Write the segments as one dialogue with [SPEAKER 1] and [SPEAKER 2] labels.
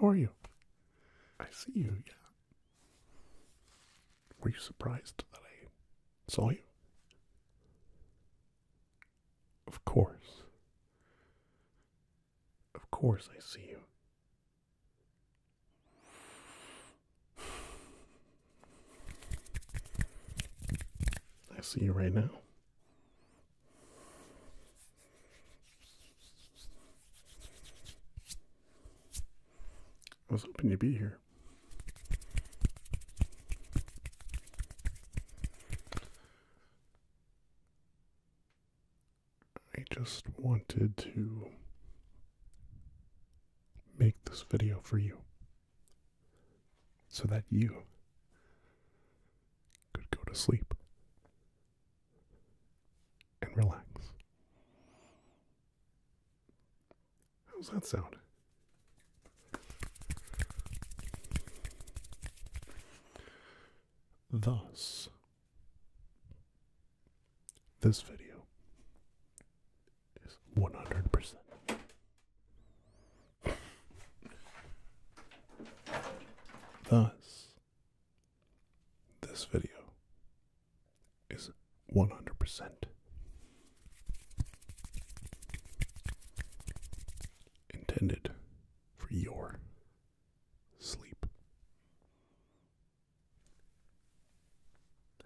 [SPEAKER 1] How are you? I see you, yeah. Were you surprised that I saw you? Of course. Of course I see you. I see you right now. I was hoping you'd be here. I just wanted to make this video for you so that you could go to sleep and relax. How's that sound? Thus, this video is 100%. Thus, this video is 100% intended for your sleep.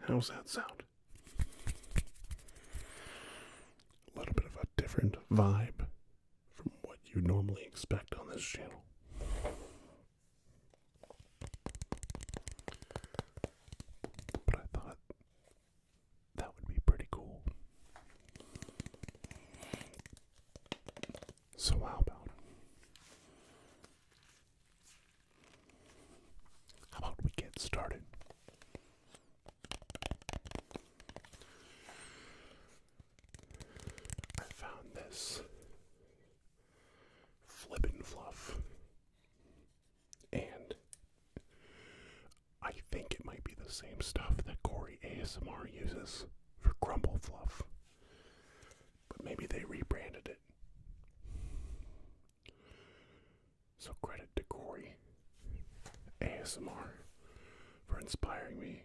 [SPEAKER 1] How's that sound? A little bit of a different vibe from what you normally expect on this channel. But I thought that would be pretty cool. So, how about how about we get started? I found this flippin' fluff. And I think it might be the same stuff that Corey ASMR uses for Crumble Fluff. But maybe they rebranded it. So credit to Corey ASMR for inspiring me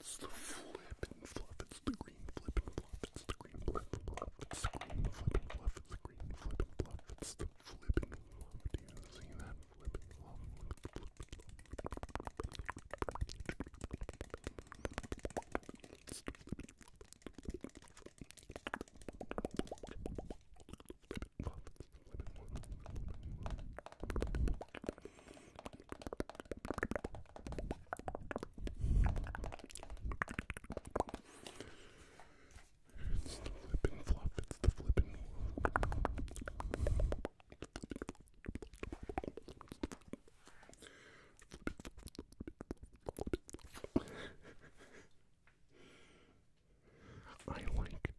[SPEAKER 1] It's the flip and fluff, it's the green flip and fluff, it's the green flip and fluff, it's the green flip and fluff, it's the green flip and fluff, it's the flip and fluff. Do you see that flip and fluff? Flip and fluff. It's the flippin' fluff, it's the flippin' I like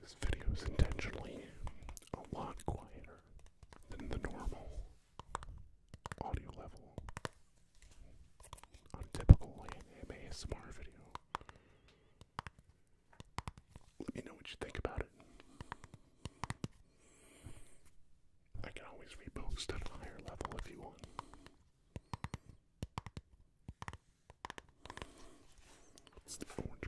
[SPEAKER 1] This video is intentionally a lot quieter than the normal audio level on a typical ASMR video. Let me know what you think about it. I can always repost at a higher level if you want. It's the orange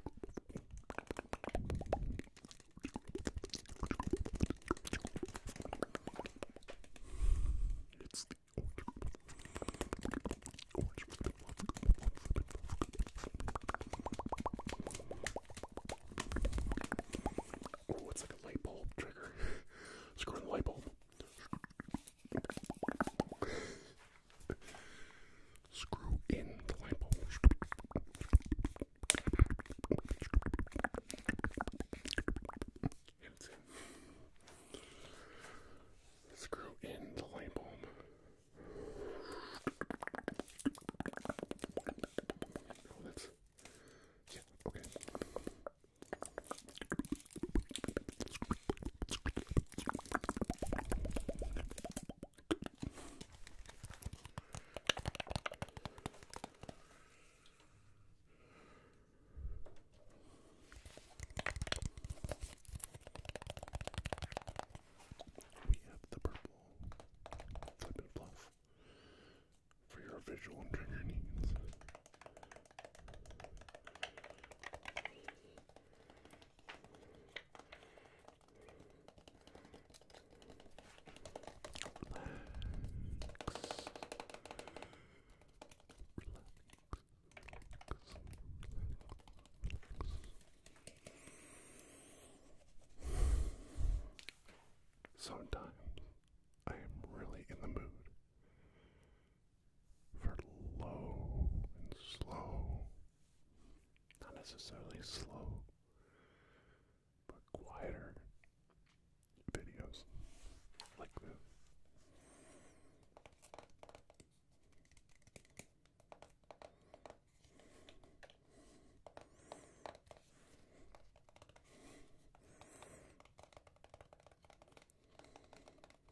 [SPEAKER 1] It's the orange Orange with a bit of Oh, it's like a light bulb trigger. Screw in the light bulb. Screw in the light bulb. And it's in. Screw in the light bulb. Oh, that's. Yeah, okay. We have the purple flip and fluff for your visual and trigger needs. Sometimes I am really in the mood for low and slow not necessarily slow, but quieter videos like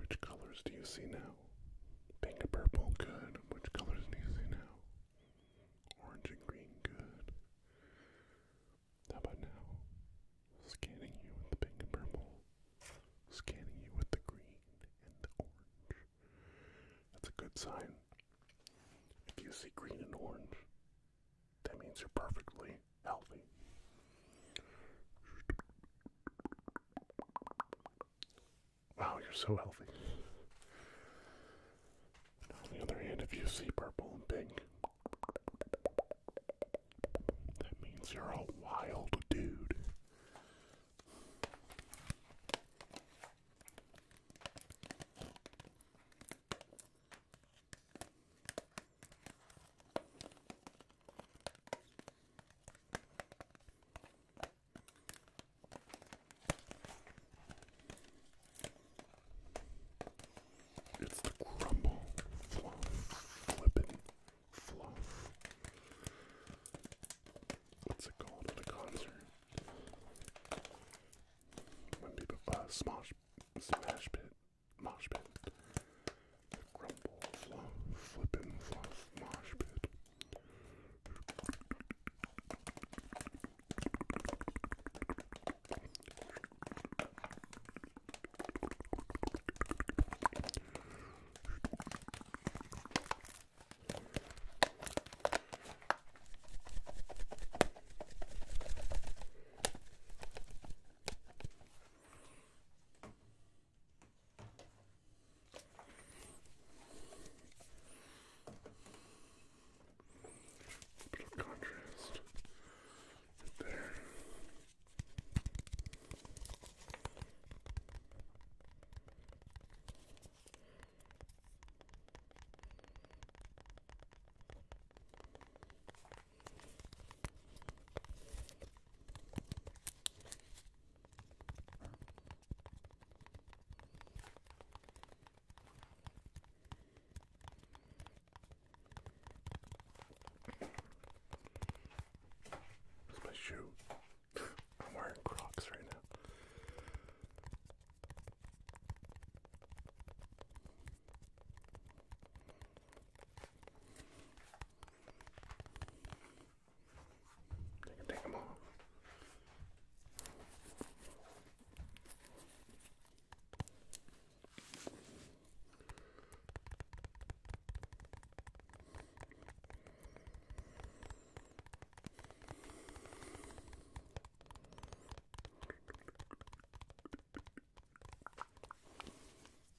[SPEAKER 1] Which colors do you see now? Pink and purple, good. Which colors do you see now? Orange and green, good. How about now? Scanning you with the pink and purple. Scanning you with the green and the orange. That's a good sign. If you see green and orange, that means you're perfectly healthy. Wow, you're so healthy. on the other hand, if you see purple and pink, that means you're a wild dude. It's the crumble, fluff, flippin', fluff. What's it called a concert? Uh, smosh, smash pit, mosh pit. The Grumble Fluff Flippin' Fluff Mosh Pit. A bit of contrast right there. It's my shoe. I'm wearing Crocs right now. I can take them off.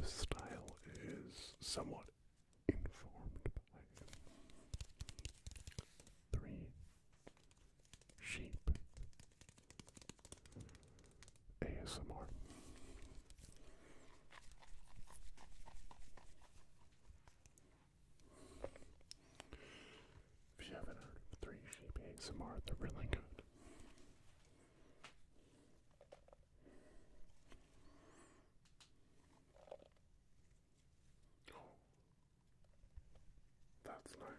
[SPEAKER 1] The style is somewhat informed by three sheep ASMR. If you haven't heard of Three Sheep ASMR, they're really good. Oh, that's nice.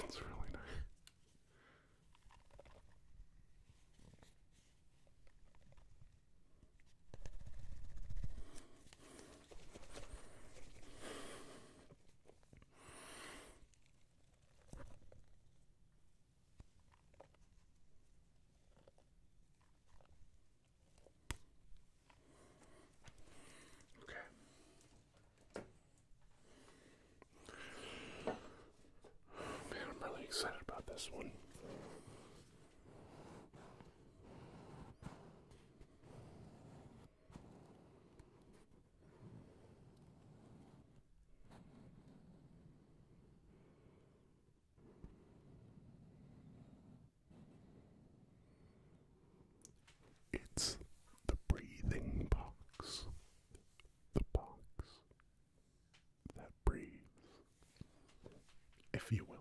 [SPEAKER 1] That's really nice. Okay. Man, I'm really excited about this one. It's the breathing box, the box that breathes, if you will.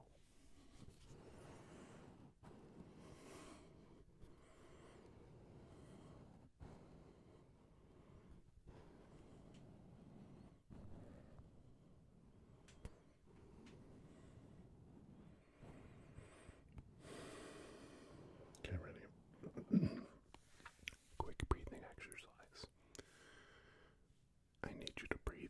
[SPEAKER 1] Get ready. Quick breathing exercise. I need you to breathe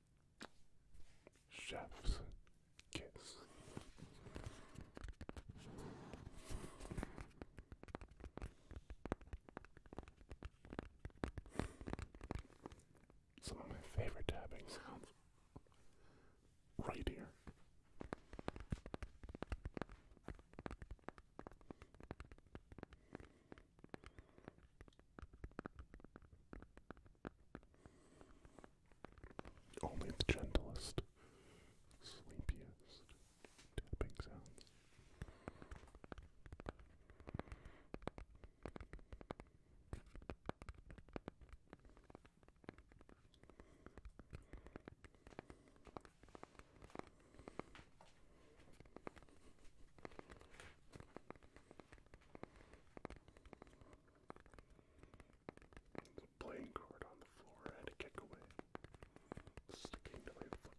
[SPEAKER 1] Chef's kiss. Some of my favorite tapping sounds right here. Only the gentlest, sleepiest tapping sounds. The playing card on the floor I had to kick away, sticking to my foot.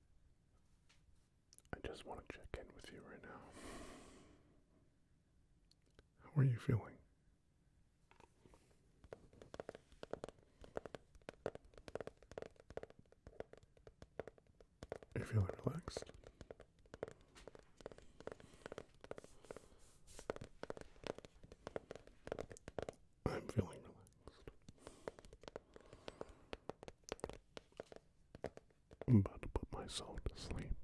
[SPEAKER 1] I just want to check in with you right now. How are you feeling? Are you feeling relaxed? I'm feeling relaxed. I'm about to put myself to sleep.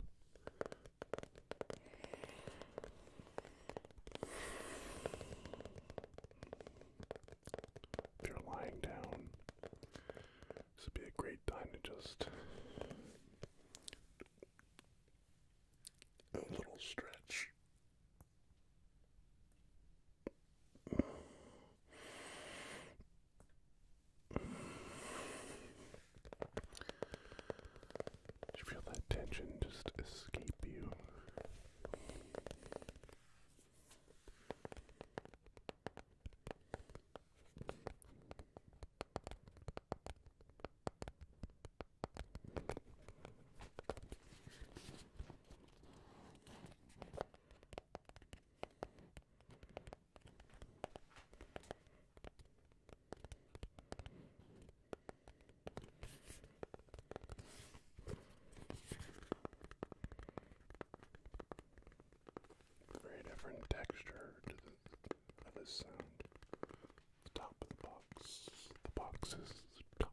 [SPEAKER 1] If you're lying down, this would be a great time to just a little stretch feel that tension just escape you. Very different texture to the sound. The top of the box. The box is top.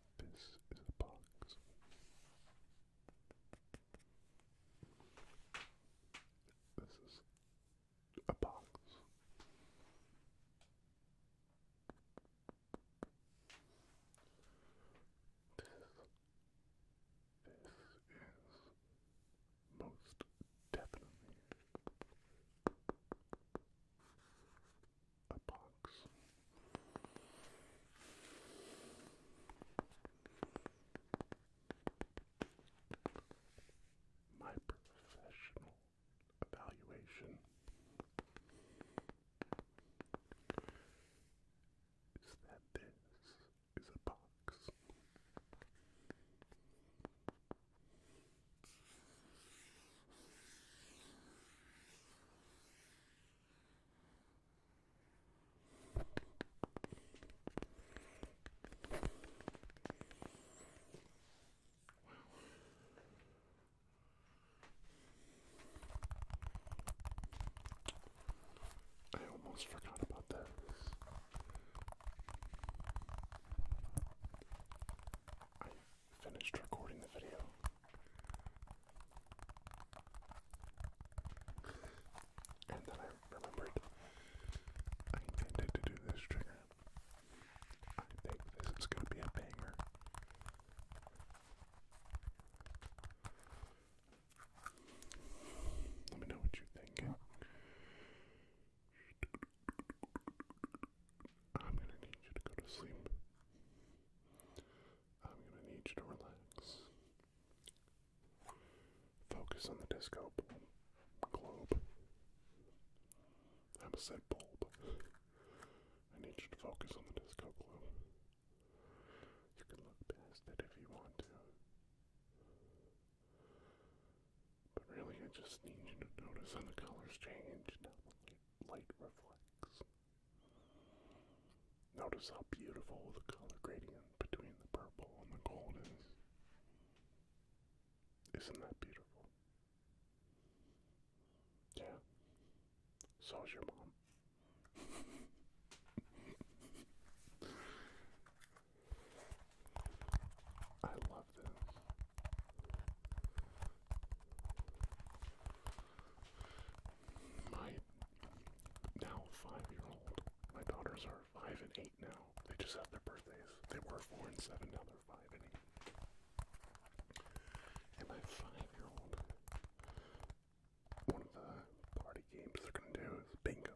[SPEAKER 1] This is a box. This is a box. This, this is most definitely a box. My professional evaluation is that this is a box. I almost forgot about that. I finished recording the video. And then I remembered I intended to do this trigger. I think this is going to be a banger. Let me know what you think. I'm going to need you to go to sleep. I'm going to need you to relax. Focus on the disco globe. I a set bulb. I need you to focus on the disco globe. You can look past it if you want to. But really, I just need you to notice how the colors change, not light reflects. Notice how beautiful the color gradient between the purple and the gold is. Isn't that beautiful? Yeah. So's your mom. I love this my now five-year-old, my daughters are five and eight now. They just have their birthdays. They were four and seven, now they're five and eight. And my five-year-old, one of the party games they're gonna do is bingo.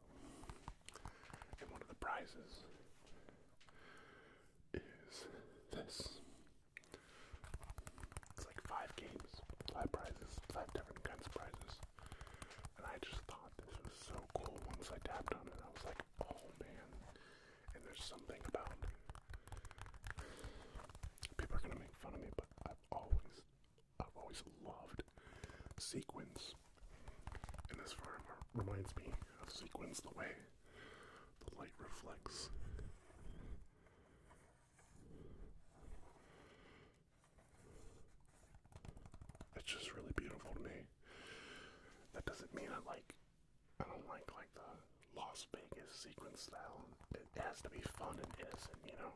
[SPEAKER 1] And one of the prizes is this it's like five games, five prizes, five different kinds of prizes. And I just thought this was so cool once I tapped on it. I was like, oh man. And there's something about people are gonna make fun of me, but I've always I've always loved sequins. And this farmer reminds me of sequins the way the light reflects it's just really beautiful to me. That doesn't mean I like I don't like like the Las Vegas sequence style. It has to be fun and innocent, you know?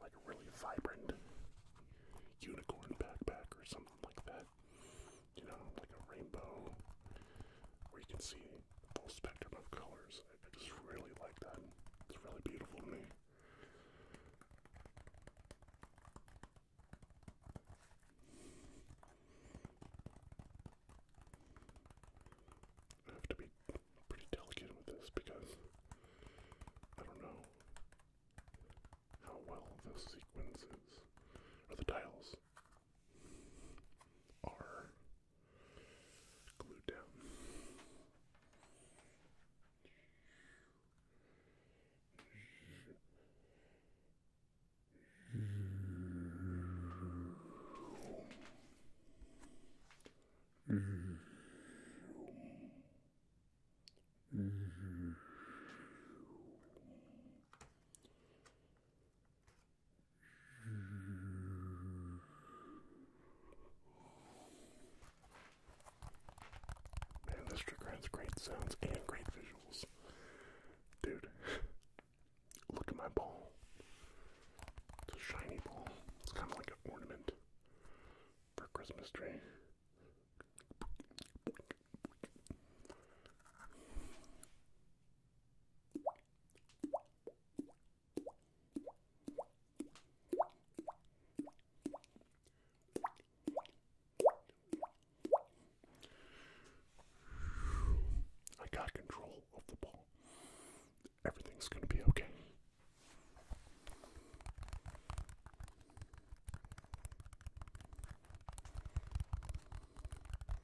[SPEAKER 1] Like a really vibrant unicorn backpack or something like that. You know, like a rainbow where you can see full spectrum of colors. I, just really like that. It's really beautiful to me. I have to be pretty delicate with this because I don't know how well the sequences or the tiles are glued down. Man, this trigger has great sounds and great visuals. Dude, look at my ball. It's a shiny ball. It's kind of like an ornament for Christmas tree. I got control of the ball. Everything's going to be okay.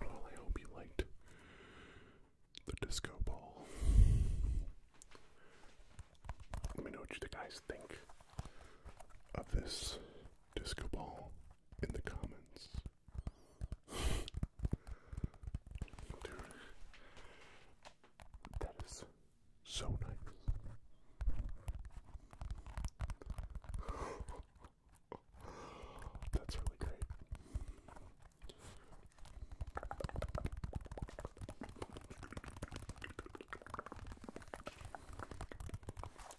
[SPEAKER 1] Well, I hope you liked the disco ball. Let me know what you guys think of this disco ball in the comments. that is so nice. That's really great.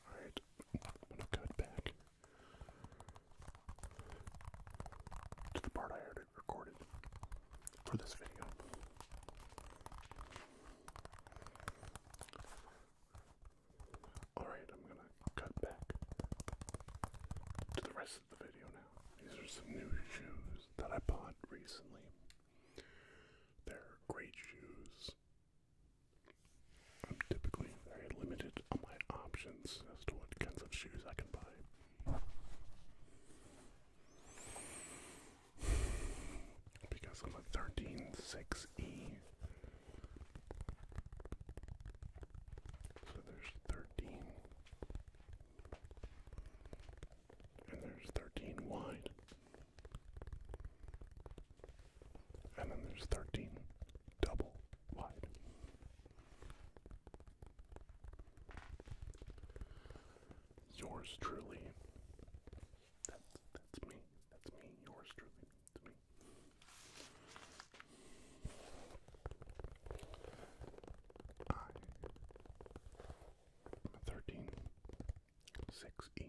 [SPEAKER 1] Alright, I'm gonna cut back to the part I already recorded for this video. Alright, I'm gonna cut back to the rest of the video now. These are some new shoes that I bought recently. They're great shoes. I'm typically very limited on my options as to what kinds of shoes I can buy because I'm a 13.6E. So there's 13. And there's 13 wide. And then there's 13 double wide yours truly. That's that's me. That's me. Yours truly. That's me. I thirteen six E.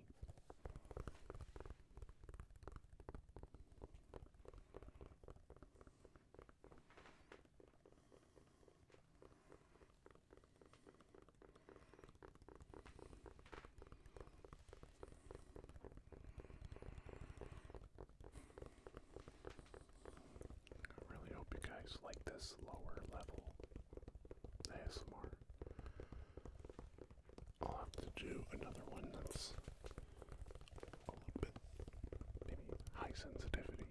[SPEAKER 1] I really hope you guys like this lower level ASMR. I'll have to do another one that's a little bit maybe high sensitivity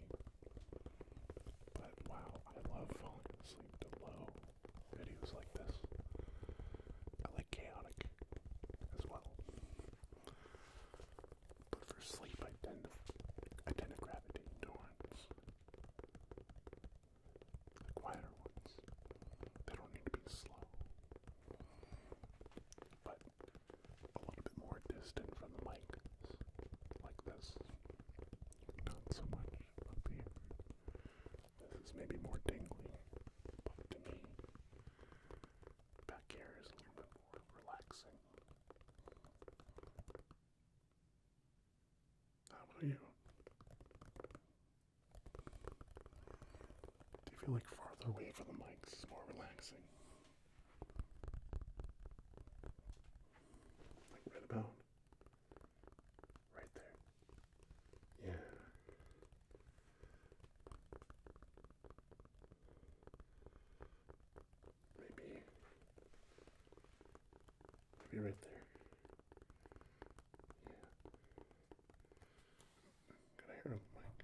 [SPEAKER 1] but wow, I love falling asleep to low videos like this. I like chaotic as well. But for sleep, I tend to, I tend gravitate towards quieter ones. They don't need to be slow, but a little bit more distant from the mic, like this. Not so much up here. This is maybe more tingly, but to me, back here is a little bit more relaxing. How about you? Do you feel like farther away from the mics is more relaxing? Like right about Right there. Yeah. Maybe. Maybe right there. Yeah. Gotta hear him, Mike.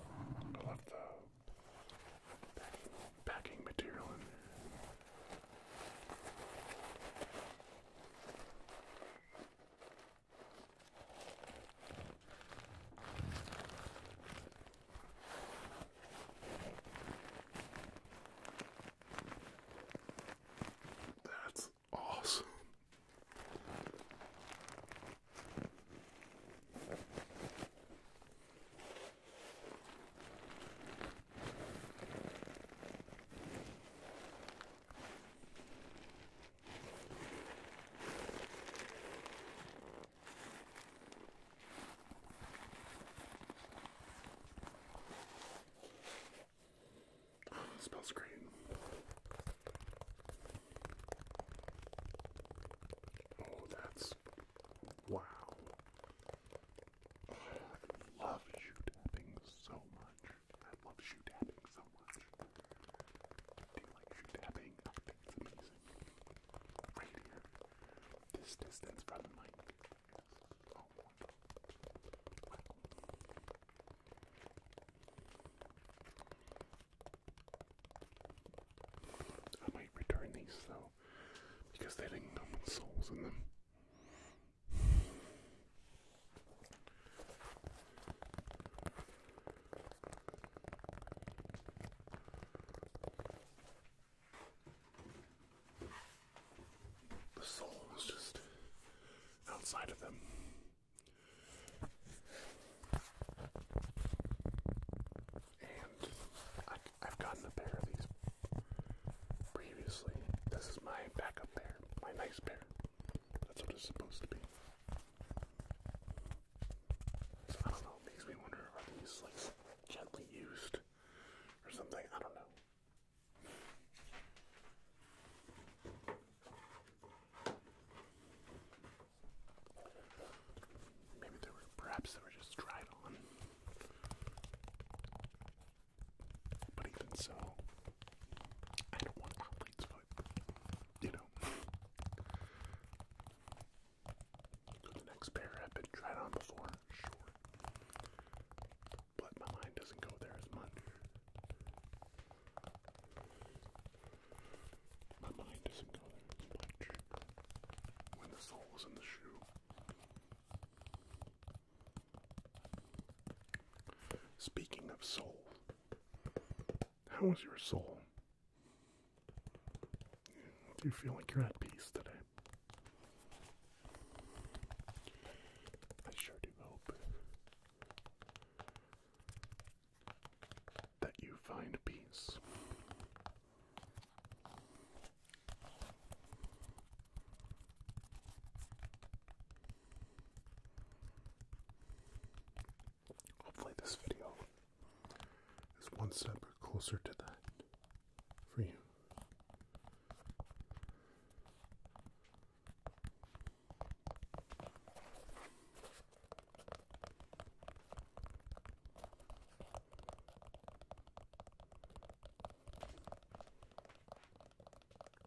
[SPEAKER 1] I love the packing, packing material in there. That's awesome. Oh, it Oh, that's wow. I love shoe tapping so much. I love shoe tapping so much. Do you shoe tapping? I think it's amazing. This distance from the mic. I might return these though, because they didn't come souls in them. The soul is just outside of them. And I, have gotten a pair of these previously. This is my backup pair, my nice pair. That's what it's supposed to be. I don't know, makes me wonder are these like gently used or something? I don't know. Maybe they were perhaps they were just dried on. But even so, I don't want athlete's foot. You know. The next pair I've been tried on before, sure. But my mind doesn't go there as much. My mind doesn't go there as much when the sole is in the shoe. Speaking of soul, was your soul do you feel like you're at peace today? I sure do hope that you find peace. Hopefully, this video is one step closer to that for you.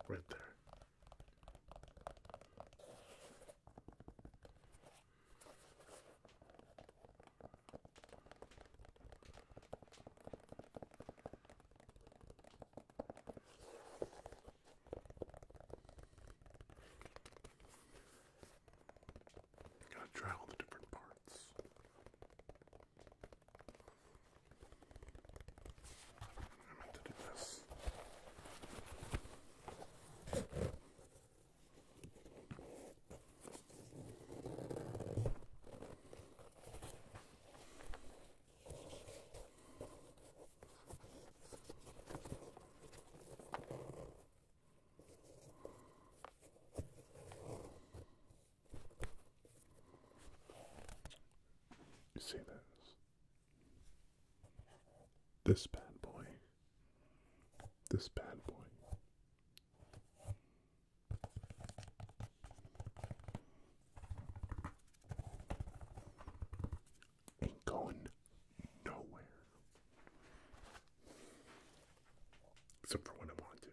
[SPEAKER 1] Right there. Gotta try all the different parts. I meant to do this. You see this? This bad boy. This bad boy Ain't going nowhere. Except for when I want to.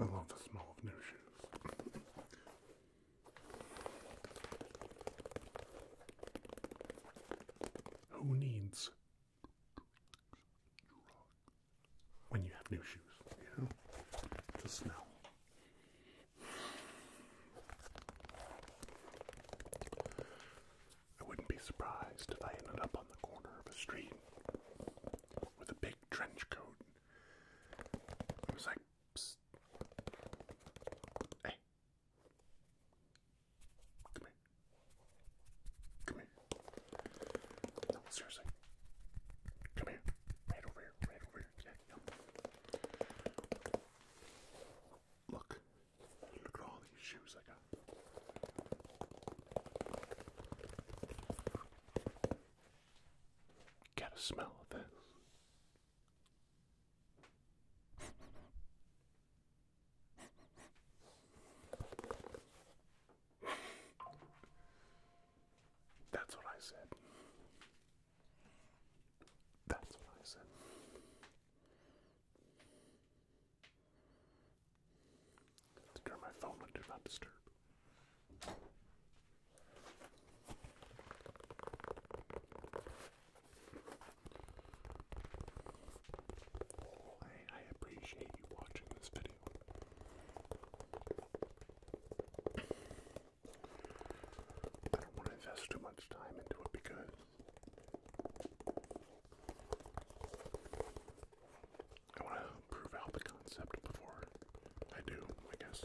[SPEAKER 1] I love the smell of new shoes. Who needs when you have new shoes, you know? The smell. I wouldn't be surprised if I ended up on the corner of a street with a big trench coat. It was like Psst. Hey. Come here. Come here. Come here. Right over here. Right over here. Yeah, yeah. Look. Look at all these shoes I got. Get a smell of this. That's what I said. That's what I said. Secure my phone on not disturb. Oh, I, appreciate you watching this video. I don't want to invest too much time into it because I want to prove out the concept before I do, I guess.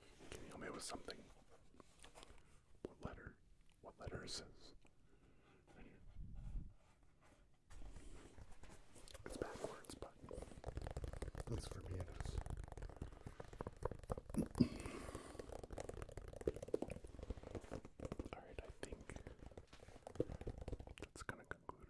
[SPEAKER 1] Can you help me with something? What letter? What letter is It's backwards, but at least for me it is. Alright, I think that's gonna conclude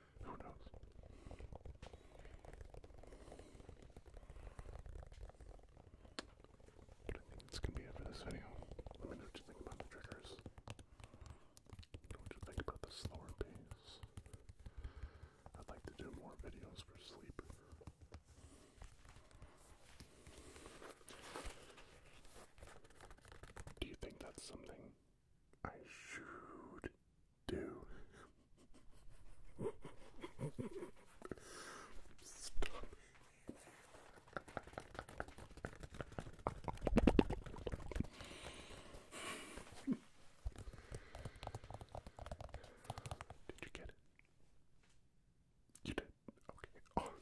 [SPEAKER 1] Who knows? But I think that's gonna be it for this video. Let me know what you think about the triggers. what you think about the slower pace. I'd like to do more videos for sleep. Do you think that's something I should do. Stop. Did you get it? You did? Okay, awesome.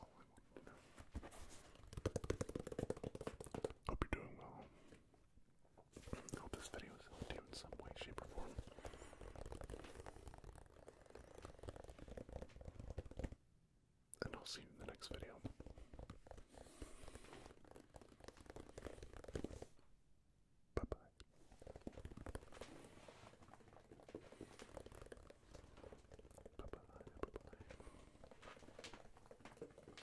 [SPEAKER 1] all I wanted to know. Hope you're doing well. Hope this video has helped you in some way, shape, or form. And I'll see you in the next video. Bye bye.